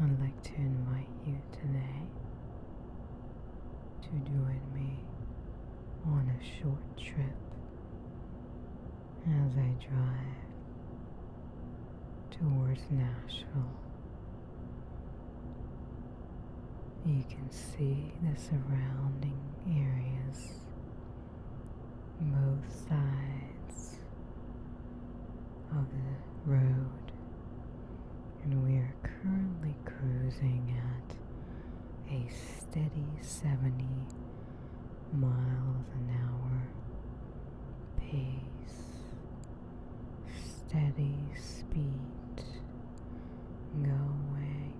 I'd like to invite you today to join me on a short trip as I drive towards Nashville. You can see the surrounding areas, both sides of the road, and we are currently cruising at a steady 70 miles an hour pace, steady speed, going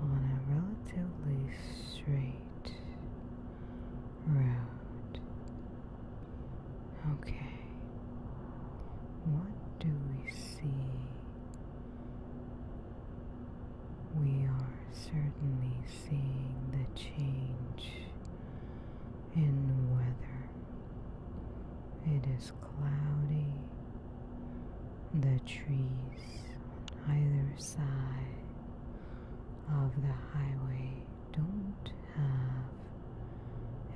on a relatively straight route. Okay, what do we see? We are certainly seeing the change in weather. It is cloudy. The trees on either side of the highway don't have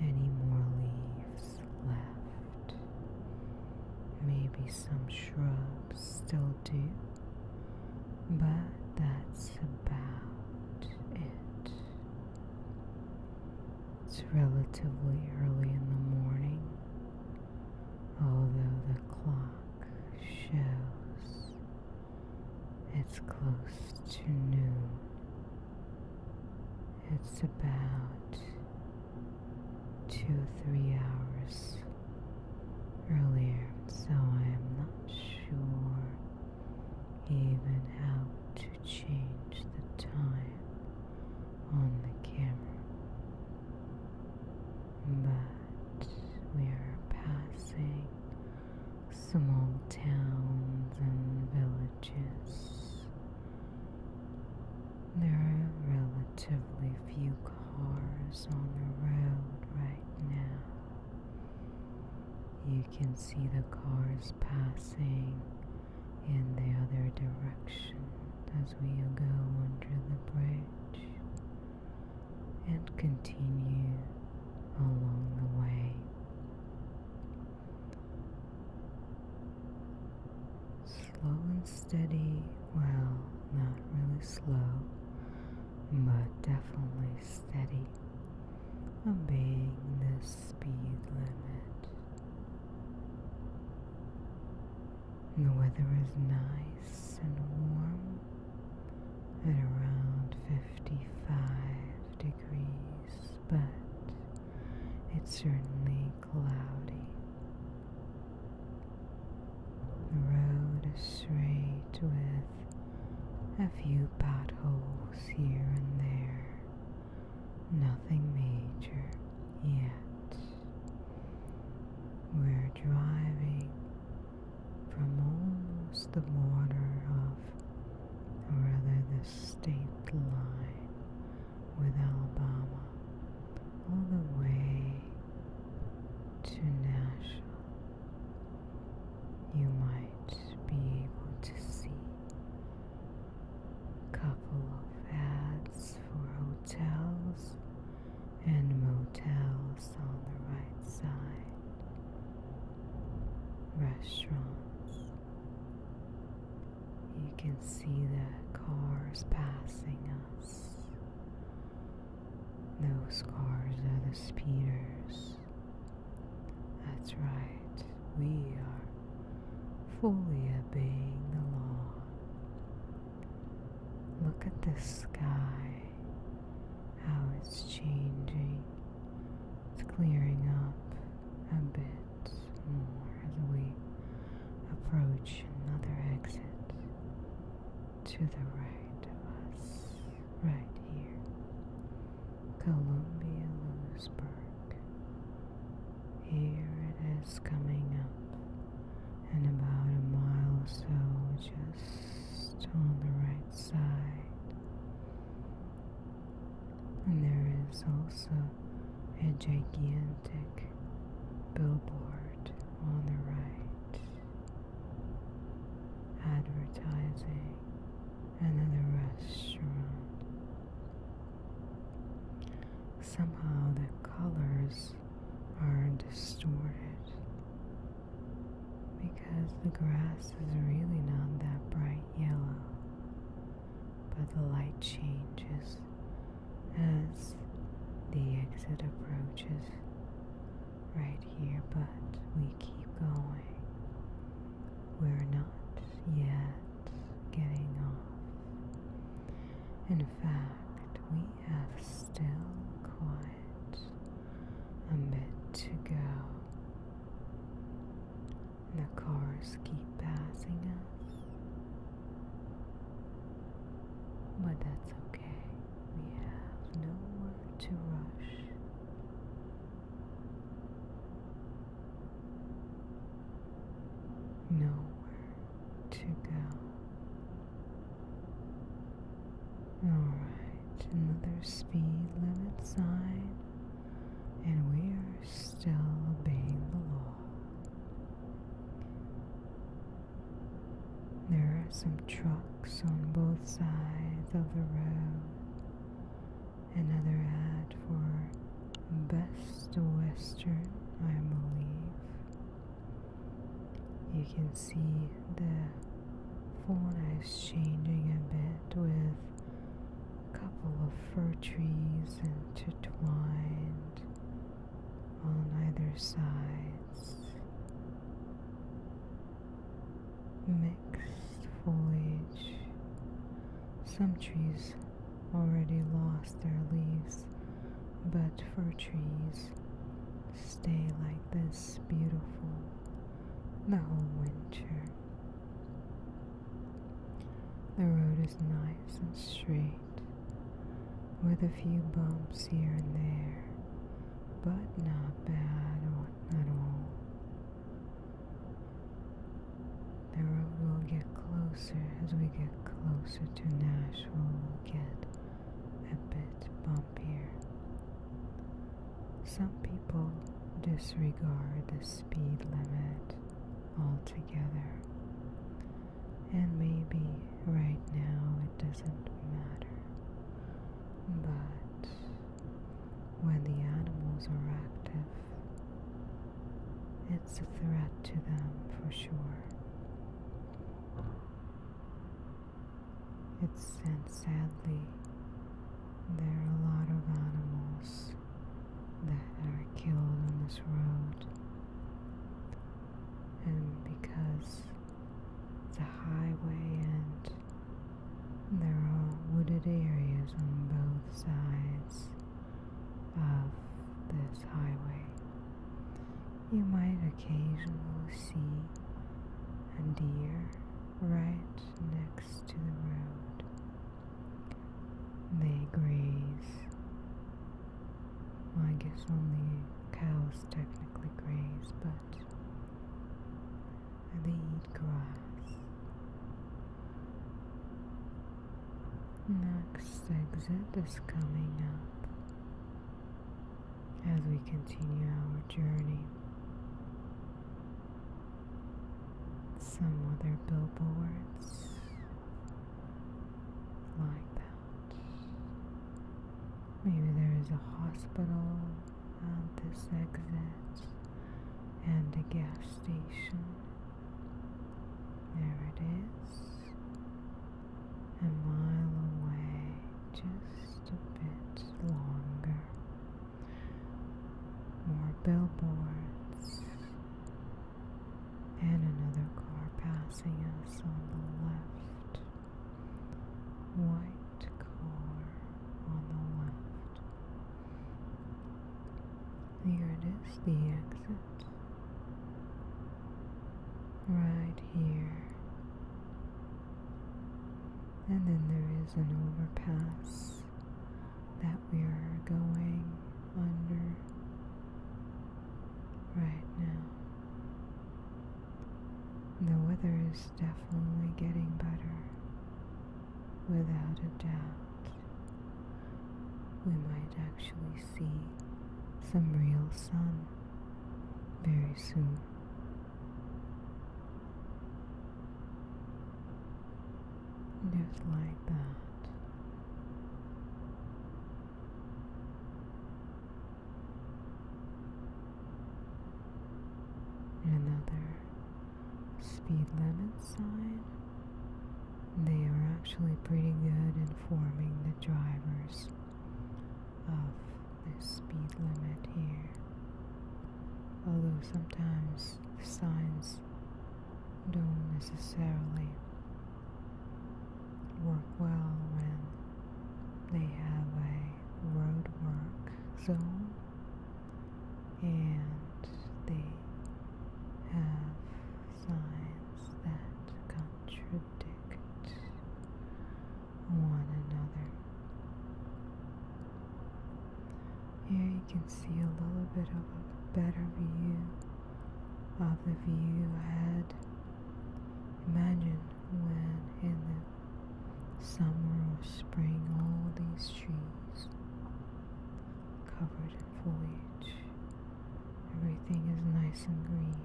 any more leaves left. Maybe some shrubs still do, but that's about it. It's relatively early in the morning, although the clock shows it's close to noon. It's about two or three hours earlier, so I am not sure even how to change the time on the camera but we are passing small towns and villages. There are relatively few cars on the road right now. You can see the cars passing in the other direction as we go under the bridge and continue along the way. Slow and steady, well, not really slow, but definitely steady, obeying the speed limit. The weather is nice and warm at around 55 degrees, but it's certainly cloudy. The road is straight with a few potholes here and there. Nothing major yet. We're driving from almost the border of, or rather the state line with Alabama, all the way to Nashville. You might be able to see a couple of ads for hotels and motels on the right side, restaurants. You can see the cars passing us. Those cars are the speeders. That's right, we are fully obeying the law. Look at the sky how it's changing. It's clearing up a bit more as we approach another exit to the right of us, right here. Columbia Lewisburg. Here it is coming up, and about a mile or so just on the right side. And there is also a gigantic billboard on the right advertising another restaurant. Somehow the colors are distorted because the grass is really not that bright yellow, but the light changes as the exit approaches right here, but we keep going. We're not yet getting off. In fact, we have still quite a bit to go. The cars keep passing us, but that's okay. We have nowhere to rush. Nowhere to go. Alright, another speed limit sign, and we are still obeying the law. There are some trucks on both sides of the road. Another ad for Best Western, I believe. You can see the fauna changing a bit with a couple of fir trees intertwined on either sides. Mixed foliage. Some trees already lost their leaves, but fir trees stay like this beautiful the whole winter. The road is nice and straight with a few bumps here and there, but not bad at all. The road will get closer as we get closer to Nashville, will get a bit bumpier. Some people disregard the speed limit altogether, and maybe right now it doesn't matter. But when the animals are active, it's a threat to them for sure. It's sad, sadly, there are a lot of animals that are killed on this road, and because the highway and there are wooded areas on both sides of this highway you might occasionally see a deer right next to the road. They graze. I guess only cows technically graze, but they eat grass. Next exit is coming up as we continue our journey. Some other billboards like that. Maybe there is a hospital at this exit and a gas station. There it is a mile away, just a bit longer. More billboards, and another car passing us on the left. White car on the left. Here it is, the exit. Right here and then there is an overpass that we are going under right now. The weather is definitely getting better, without a doubt. We might actually see some real sun very soon. Just like that. Another speed limit sign. They are actually pretty good in forming the drivers of the speed limit here. Although sometimes the signs don't necessarily work well when they have a roadwork zone and they have signs that contradict one another. Here you can see a little bit of a better view of the view I had. Imagine when in the summer or spring all these trees covered in foliage. Everything is nice and green.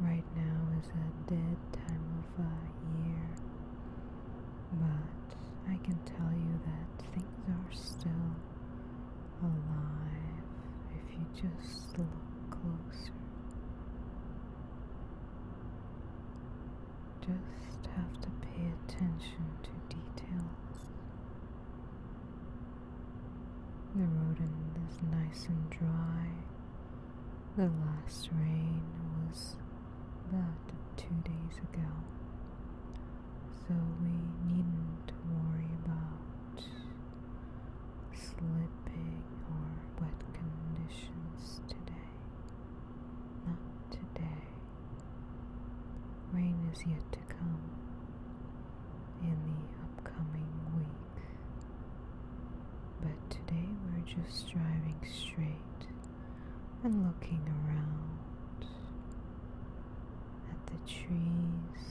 Right now is a dead time of uh, year, but I can tell you that things are still alive if you just look closer. Just have to pay attention to details. The road is nice and dry. The last rain was about two days ago, so we needn't worry about slipping or wet conditions today. Not today. Rain is yet to come in the upcoming week. But today we're just driving straight and looking around at the trees,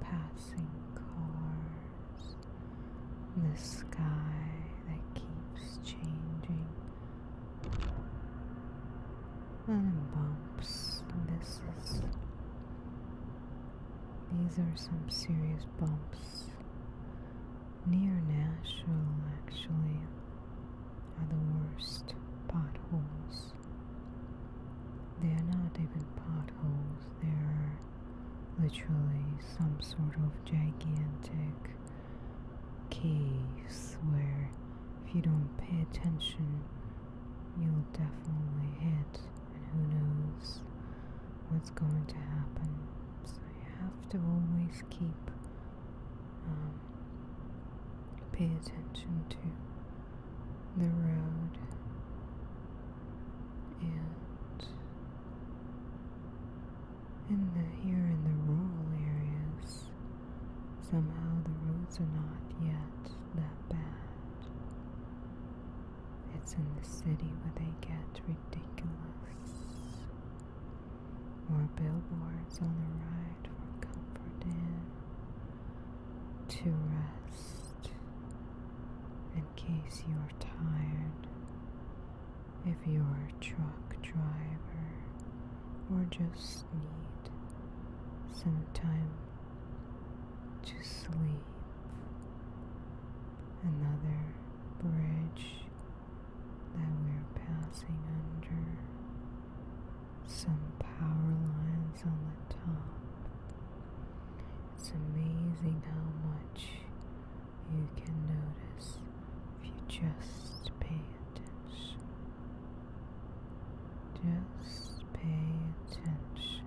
passing cars, the sky that keeps changing. And bumps. This is these are some serious bumps. Near Nashville, actually, are the worst potholes. They are not even potholes, they are literally some sort of gigantic caves where if you don't pay attention, you'll definitely hit and who knows what's going to happen. So you have to always keep um, pay attention to the road and in the here in the rural areas somehow the roads are not yet that bad it's in the city where they get ridiculous. More billboards on the right for comfort in, to rest, in case you are tired. If you are a truck driver or just need some time to sleep. Another bridge that we're passing under. Some power lines on the top. It's amazing how much you can notice if you just pay attention. Just pay attention.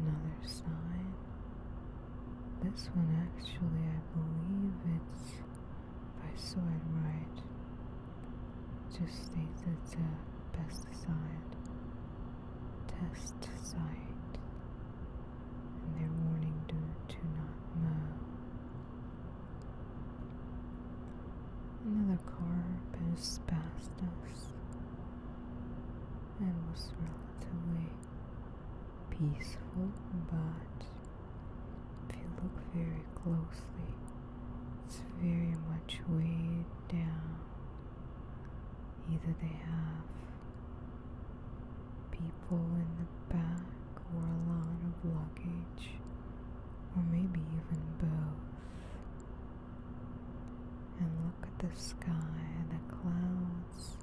Another sign. This one actually, I believe it's, if I saw it right, just states it's a pesticide test site and warning to, to not mow. Another car passed past us and was relatively peaceful, but if you look very closely, it's very much weighed down Either they have people in the back or a lot of luggage, or maybe even both. And look at the sky, the clouds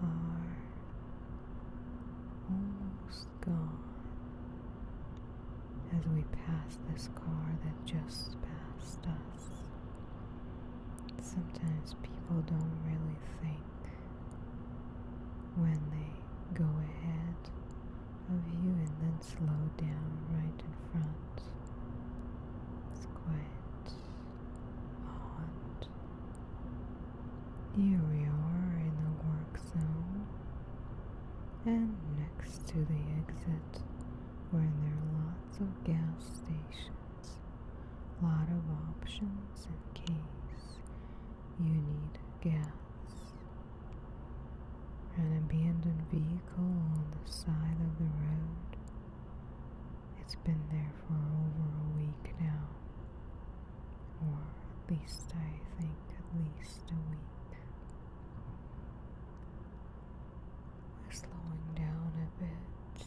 are almost gone as we pass this car that just passed us. Sometimes people don't really think when they go ahead of you and then slow down right in front. Squint. odd. Here we are in the work zone and next to the exit where there are lots of gas stations, a lot of options in case you need gas. An abandoned vehicle on the side of the road. It's been there for over a week now. Or at least I think at least a week. We're slowing down a bit.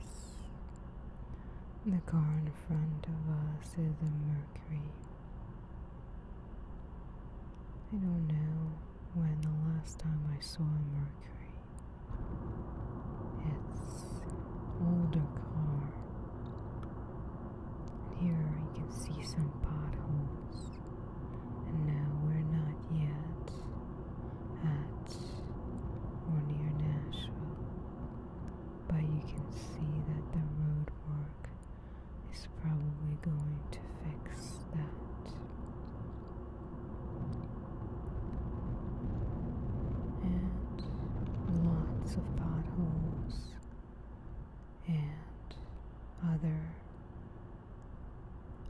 Yes. The car in front of us is a Mercury. I don't know when the last time I saw a Mercury. It's older car. And here you can see some potholes and now we're not yet at or near Nashville, but you can see that the road work is probably going to fix that. And lots of potholes and other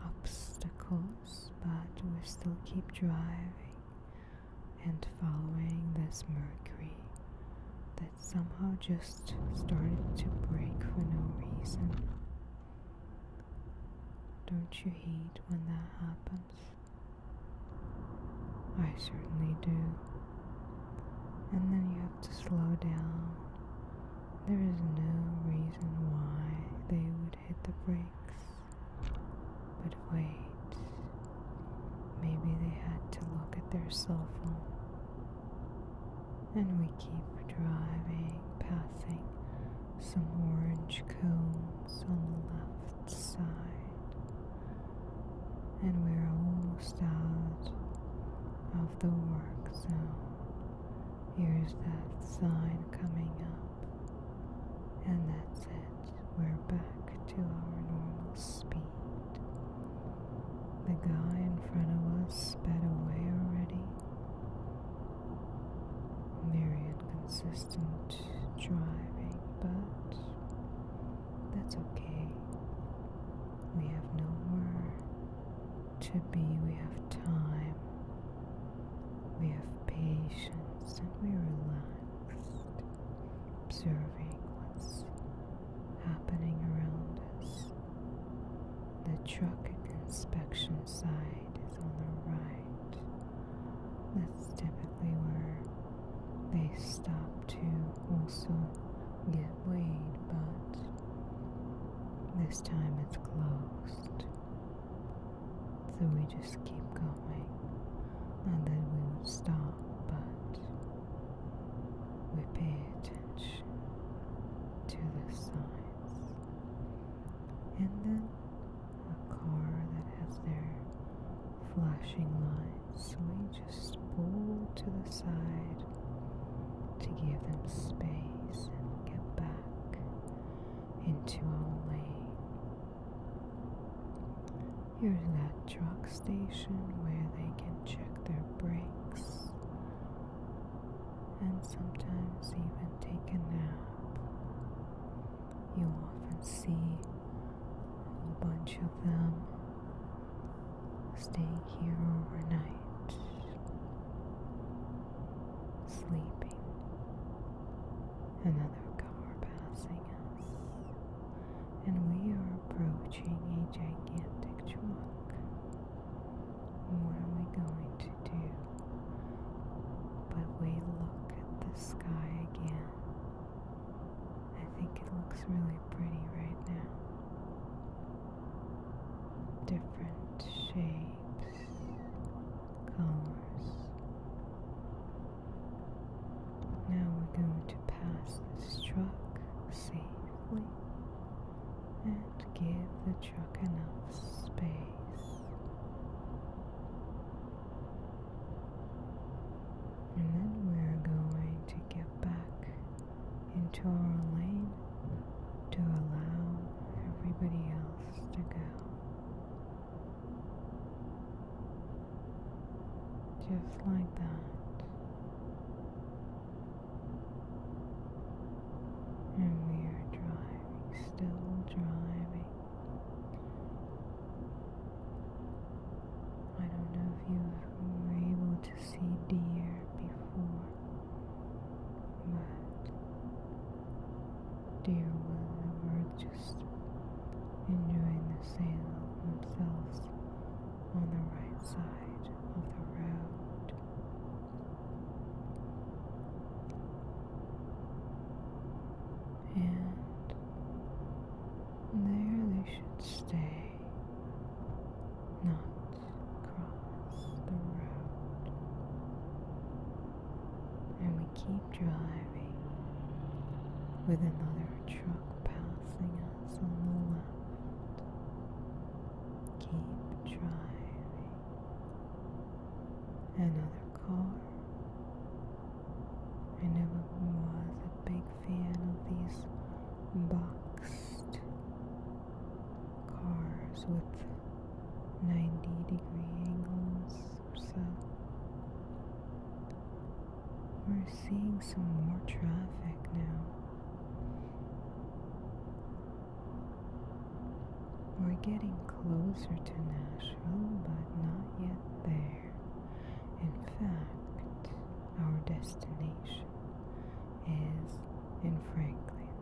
obstacles, but we still keep driving and following this Mercury that somehow just started to break for no reason. Don't you hate when that happens? I certainly do. And then you have to slow down there is no reason why they would hit the brakes. But wait, maybe they had to look at their cell phone. And we keep driving, passing some orange cones on the left side. And we're almost out of the work zone. Here's that sign coming up, and that's it. We're back to our normal speed. The guy in front of us sped away already. Very inconsistent driving, but that's okay. We have no nowhere to be, we have time, we have patience, and we're relaxed, observing what's happening around us. The truck inspection side is on the right. That's typically where they stop to also get weighed, but this time it's closed. So we just keep going. and then we would stop, but we pay attention to the signs. And then a car that has their flashing lights, so we just pull to the side to give them space and get back into our lane. Here's that truck station where they can check their brakes and sometimes even take a nap. You will often see a whole bunch of them staying here overnight, sleeping. Another car passing us, and we are approaching a gigantic truck. What are we going to do? But we look at the sky again. I think it looks really pretty right now different shapes, colors. Now we're going to pass this truck safely and give the truck enough space. And then we're going to get back into our lane to allow everybody else to go. Just like that. And we are driving, still driving. I don't know if you were able to see deer before that deer were were just enjoying the sail themselves on the right side of the road. And there they should stay not cross the road. And we keep driving with another truck passing us on the left. Keep driving. Another car. I never was a big fan of these boxed cars with 90 degree angles so. We're seeing some more traffic now. We're getting closer to Nashville, but not yet there. In fact, our destination is in Franklin,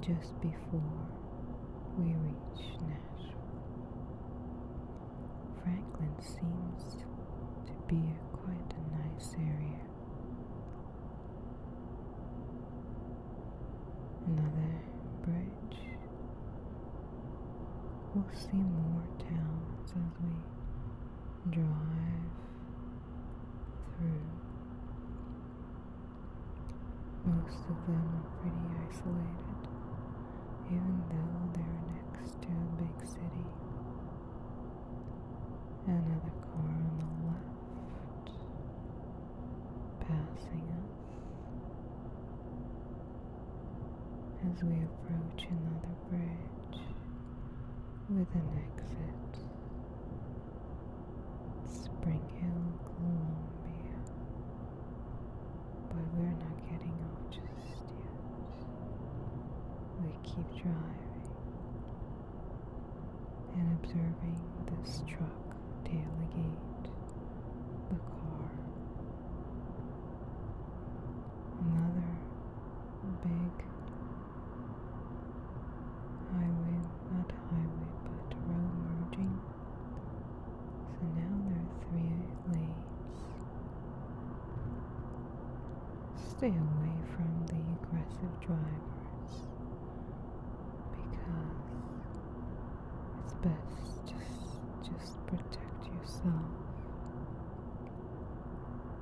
just before we reach Nashville. Franklin seems to be quite a nice area. Another bridge. We'll see more towns as we drive through. Most of them are pretty isolated, even though they're next to a big city. Another car on the left, passing us. As we approach another bridge with an exit. Spring Hill, Columbia. But we're not getting off just yet. We keep driving and observing this truck tailgate the car. Another big highway, not highway, but road merging. So now there are three lanes. Stay away from the aggressive drivers because it's best just just protect yourself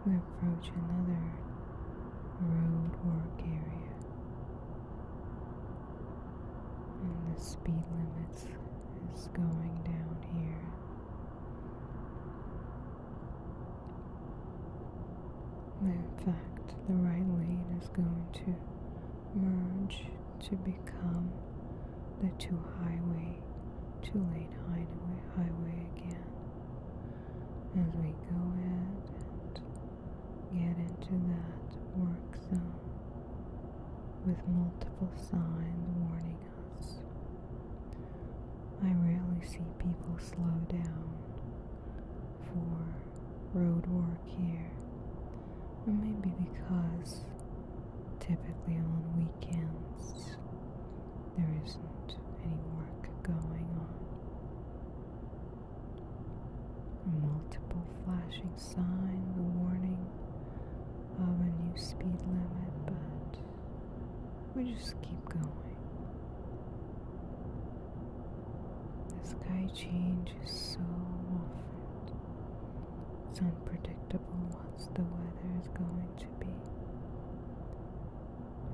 we approach another road work area and the speed limits is going down here in fact the right lane is going to merge to become the two highway two lane highway highway again as we go ahead and get into that work zone with multiple signs warning us. I rarely see people slow down for road work here, or maybe because typically on weekends there isn't any work going on. Multiple flashing signs warning of a new speed limit, but we just keep going. The sky changes so often. It's unpredictable what the weather is going to be.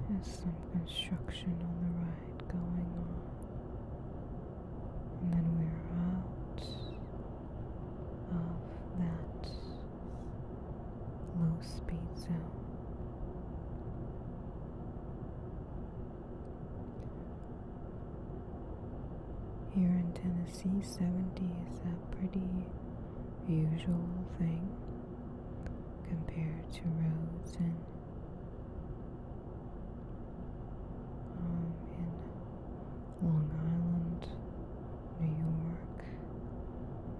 There's some construction on the right going on. And then we're out of that low speed zone. Here in Tennessee, 70 is a pretty usual thing compared to roads and um, in Long Island, New York,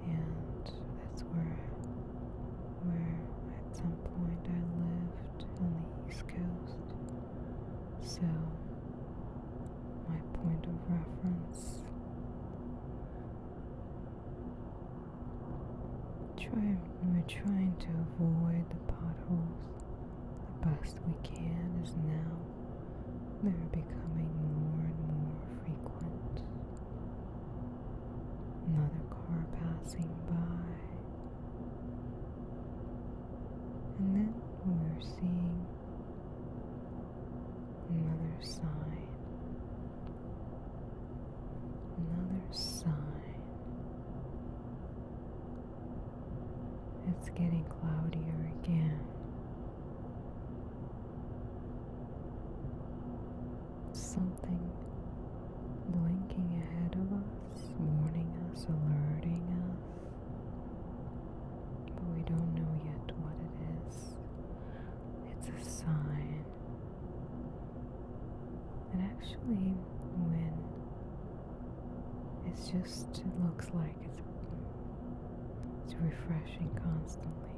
and that's where where at some point I lived on the East Coast. So my point of reference we're trying to avoid the potholes the best we can as now they're becoming more and more frequent. Another car passing by. And then we're seeing another sign. another sign. It's getting cloudier again. Something blinking ahead of us, warning us, alerting us. But we don't know yet what it is. It's a sign. And actually, when it's just, it looks like it's, it's refreshing constantly.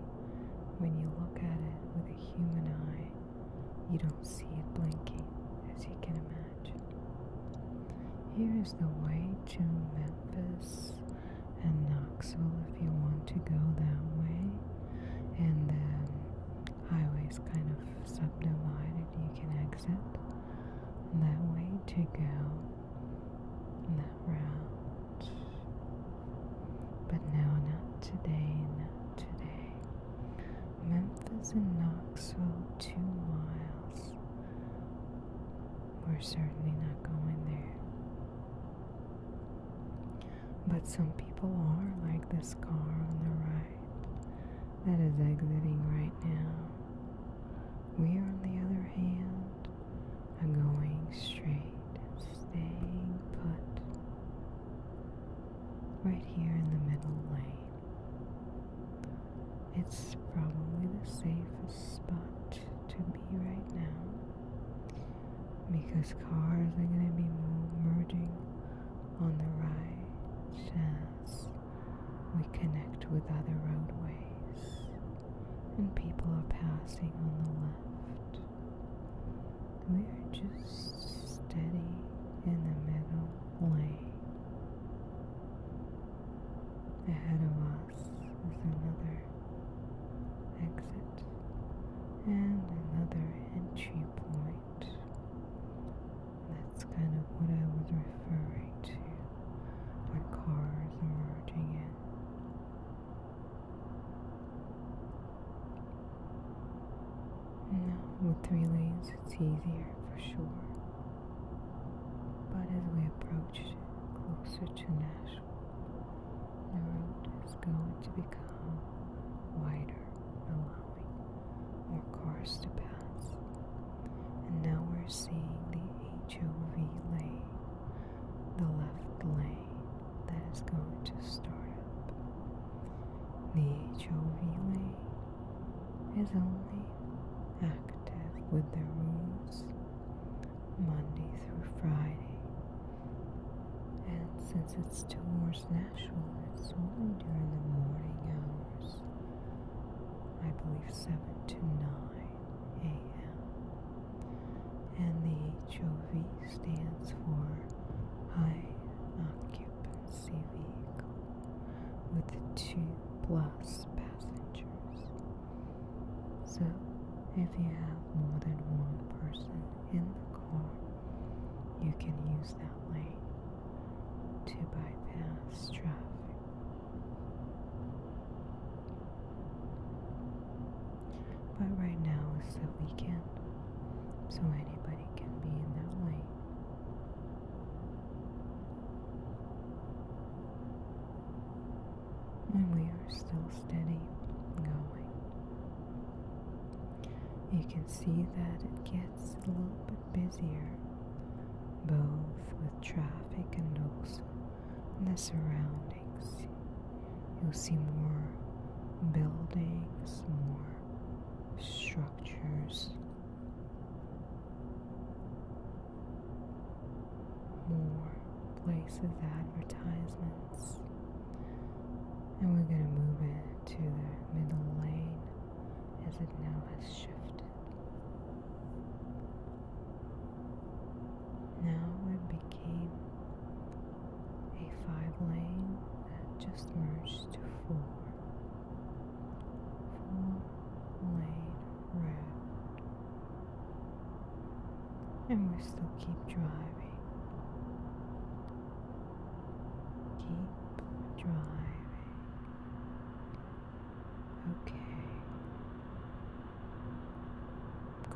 When you look at it with a human eye, you don't see it blinking, as you can imagine. Here is the way to Memphis and Knoxville if you want to go that way. And the highway is kind of subdivided. You can exit that way to go that route. But no, not today, not today. Memphis and Knoxville, two miles. We're certainly not going there. But some people are like this car on the right that is exiting right now. We, on the other hand, are going straight and staying put right here in the middle lane. It's probably the safest spot to be right now because cars are going to be merging on the right as we connect with other roadways and people are passing on the left. We are just steady in the middle lane. Ahead of us is another exit and another entry point. That's kind of what I was referring to when cars are merging in. Now, with three lanes, it's easier for sure. But as we approach closer to Nashville, the road is going to become wider, allowing more cars to pass. And now we're seeing the HOV lane, the left lane that is going to start up. The HOV lane is only active with the rules Monday through Friday and since it's towards Nashville, it's only during the morning hours. I believe 7 to 9 a.m. And the HOV stands for High Occupancy Vehicle with two plus passengers. So, if you have more than one person in the car, you can use that lane to bypass traffic. But right now it's the weekend, so anybody can be in that lane and we are still steady going. You can see that it gets a little bit busier, both with traffic and also the surroundings. You'll see more buildings, more structures, more places, advertisements. And we're going to move it to the middle lane as it now has shifted. Now it became a five lane that just merged to four. Four lane road and we still keep driving. Keep driving. Okay.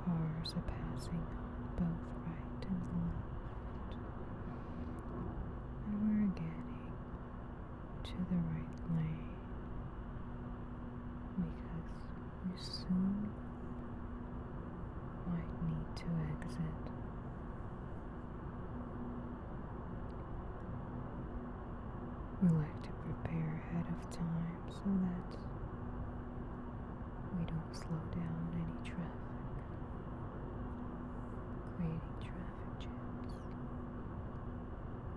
Cars are passing both right and left. And we're getting to the right lane because we soon might need to exit. We like to prepare ahead of time so that we don't slow down any traffic, creating traffic jams.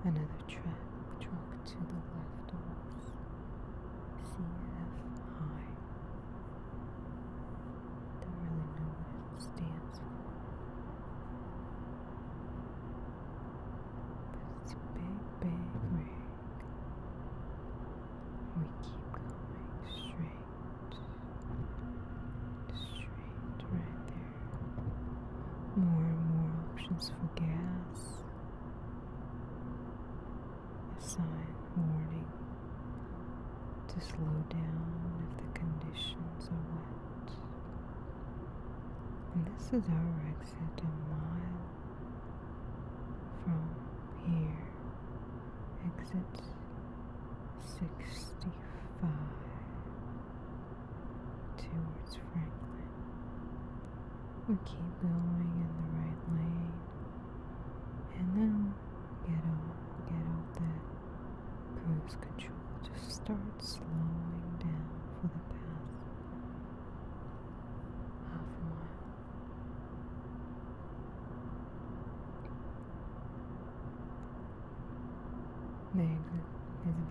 Another truck to the left of us. CFI. Don't really know what it stands for. But it's big, big rig. We keep going straight. Straight right there. More and more options for gas a sign warning to slow down if the conditions are wet. And this is our exit a mile from here. Exit 65 towards Franklin. We keep going in the right lane and now get off. get out that cruise control. Just start slowing down for the past half a mile. There you go.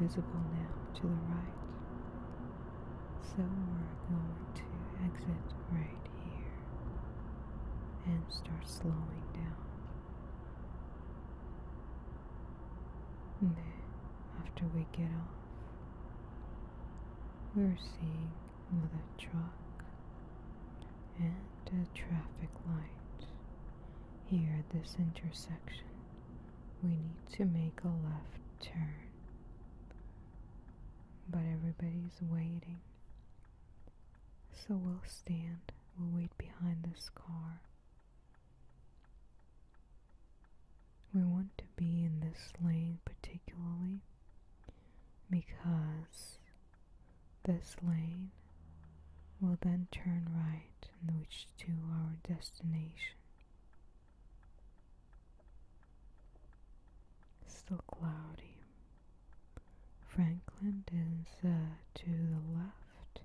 visible now to the right. So we're going to exit right here and start slowing down. And then after we get off, we're seeing another truck and a traffic light. Here at this intersection, we need to make a left turn but everybody's waiting. So we'll stand, we'll wait behind this car. We want to be in this lane particularly because this lane will then turn right and reach to our destination. Still cloudy. Franklin is uh, to the left,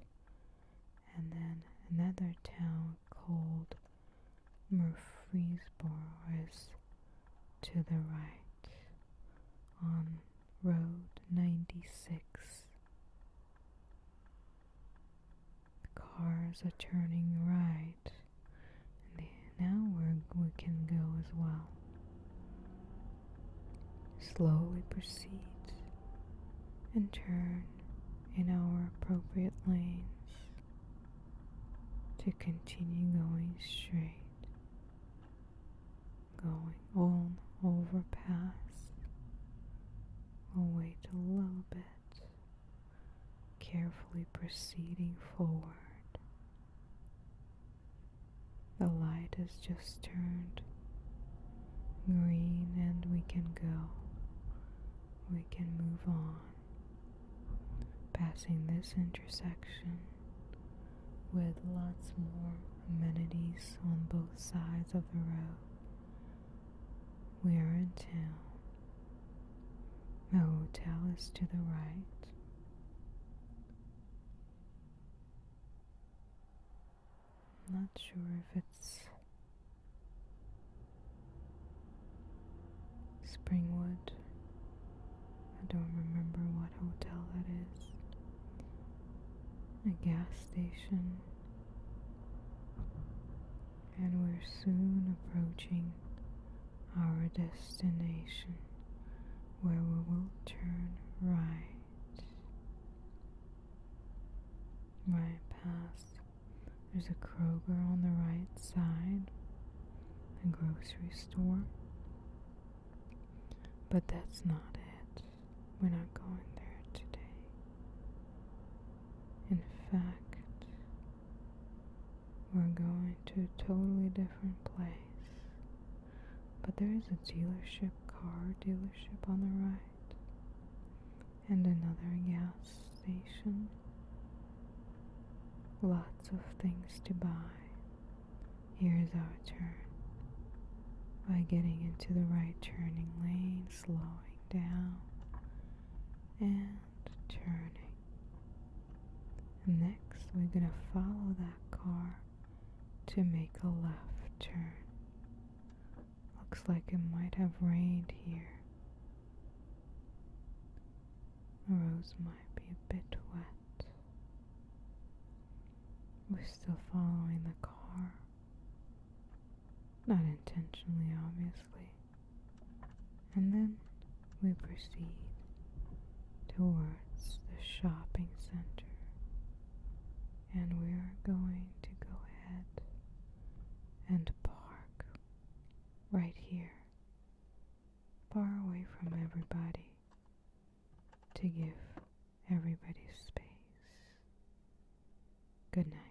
and then another town called Murfreesboro is to the right on Road 96. The cars are turning right and now we're, we can go as well. Slowly proceed and turn in our appropriate lanes to continue going straight, going on over past. We'll wait a little bit carefully proceeding forward. The light has just turned green and we can go. We can move on. Passing this intersection with lots more amenities on both sides of the road. We are in town hotel is to the right. Not sure if it's Springwood. I don't remember what hotel that is. A gas station and we're soon approaching our destination where we will turn right. Right past, there's a Kroger on the right side, a grocery store. But that's not it. We're not going there today. In fact, we're going to a totally different place. But there is a dealership, car dealership on the right, and another gas station. Lots of things to buy. Here's our turn. By getting into the right turning lane, slowing down, and turning. And next, we're going to follow that car to make a left turn. Looks like it might have rained here. The roads might be a bit wet. We're still following the car. Not intentionally, obviously and then we proceed towards the shopping center. And we are going to go ahead and park right here, far away from everybody, to give everybody space. Good night.